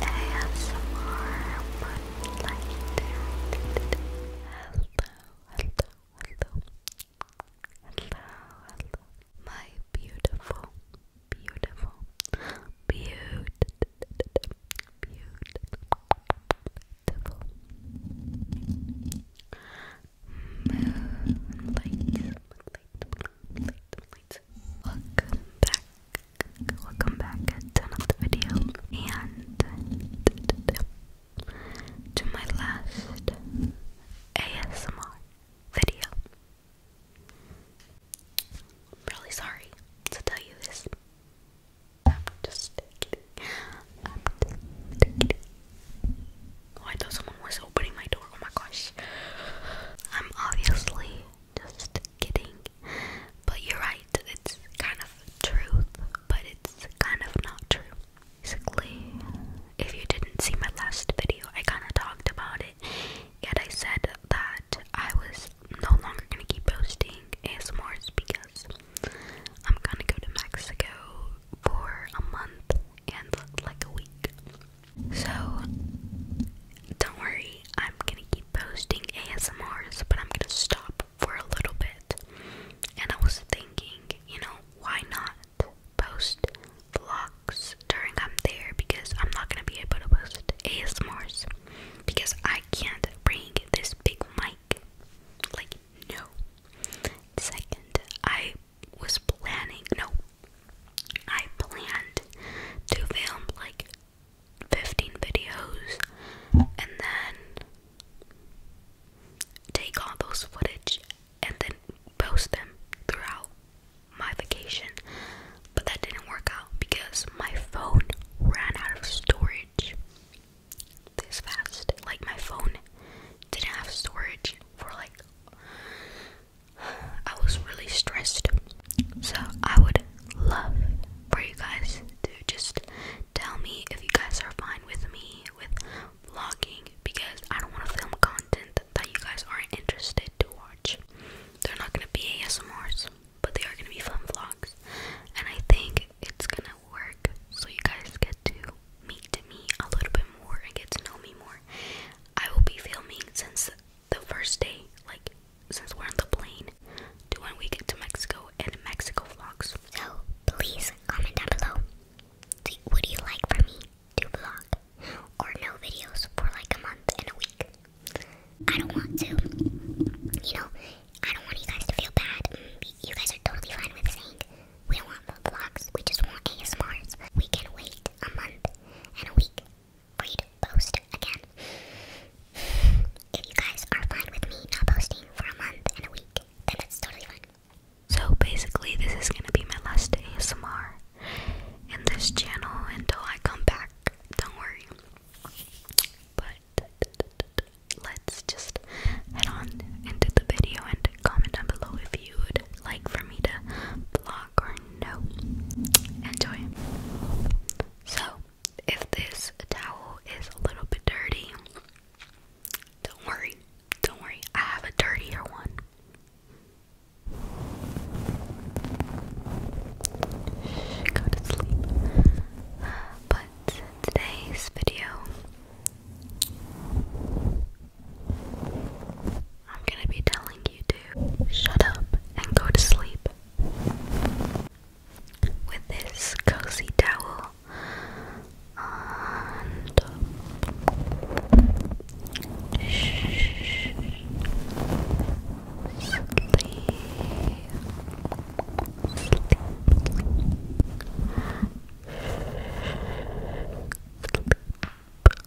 ASMR button Hello, hello, hello. Hello, hello. My beautiful, beautiful, beautiful, beautiful moonlight, moonlight, Welcome back. Welcome back at the video. And to my last ASMR video. really sorry to tell you this. Oh, I thought someone was opening my door. Oh my gosh. I'm obviously just kidding. But you're right, it's kind of truth, but it's kind of not true. Basically, if you didn't see my last video, I kind of talked about it, and I said that I was no longer gonna keep posting ASMRs because I'm gonna go to Mexico for a month and like a week. So, don't worry, I'm gonna keep posting ASMRs, but I'm gonna stop for a little bit. And I was thinking, you know, why not post vlogs during I'm there because I'm not gonna be able to post ASMRs because I can't bring this big mic. Like, no. Second, I was planning, no, I planned to film like 15 videos and then take all those footage and then post them throughout my vacation. But that didn't work out because my phone ran out of storage this fast. Like, my phone didn't have storage for like I was really stressed. So I would love for you guys to just tell me if you guys are fine with me with vlogging because I don't want to film content that you guys aren't interested to watch. They're not gonna be ASMRs, but they are gonna be fun vlogs, and I think it's gonna work so you guys get to meet me a little bit more and get to know me more. I will be filming since the first day, like since we're on the plane, to when we get to Mexico and Mexico vlogs. So please comment down below. What Do, you like for me to vlog or no videos for like a month and a week? I don't want to. You know, I don't want you guys to feel bad. You guys are totally fine with saying we don't want vlogs. We just want ASMRs. We can wait a month and a week read post again. If you guys are fine with me not posting for a month and a week, then that's totally fine. So basically, this is gonna be my last ASMR in this channel until I come back. Don't worry. But let's just head on into the video and comment down below if you'd like for me to vlog or no. Enjoy. So, if this towel is a little bit dirty, don't worry. Don't worry. I have a dirtier one. go to sleep. But today's video I'm gonna be telling you to shut up and go to sleep. With this cozy towel and Shh. Sleep.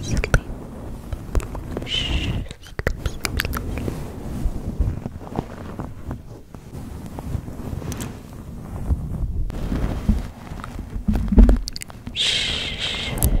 Sleep. Shh. Sleep, sleep, sleep. Shh. Sleep. Sleep.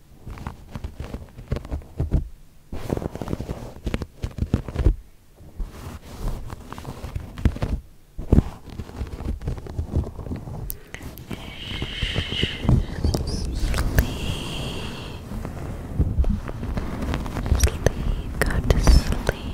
Sleep, go to sleep.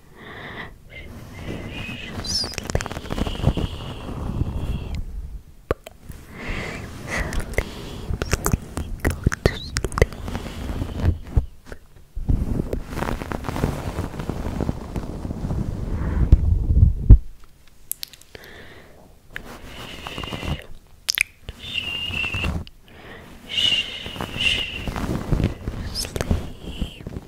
sleep, sleep, go to sleep. Sleep,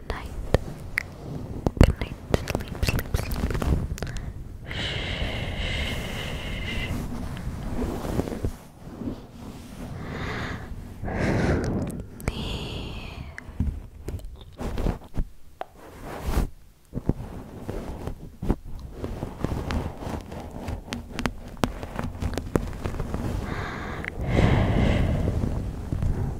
Good night. Good night. Sleep, sleep, sleep. Sleep.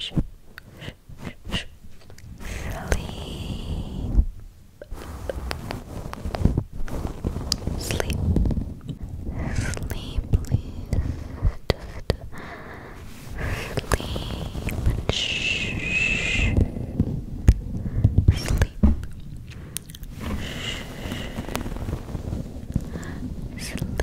Sleep. Sleep. Sleep, please. Just sleep. Shh. Sleep. Shh. Sleep. Sleep.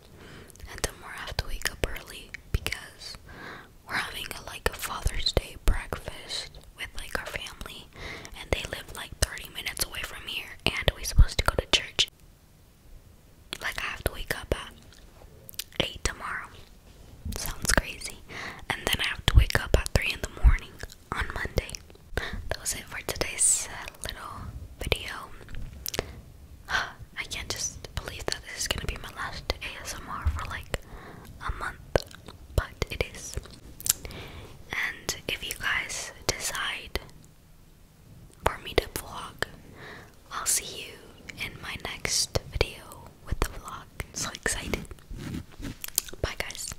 and then I have to wake up early because we're having a, like a Father's Day breakfast with like our family, and they live like 30 minutes away from here, and we're supposed to go to church. Like I have to wake up at eight tomorrow. Sounds crazy. And then I have to wake up at three in the morning on Monday. That was it for today's uh, little video. I can't just believe that this is gonna be my last ASMR for like a month, but it is. And if you guys decide for me to vlog, I'll see you in my next video with the vlog. So excited! Bye, guys.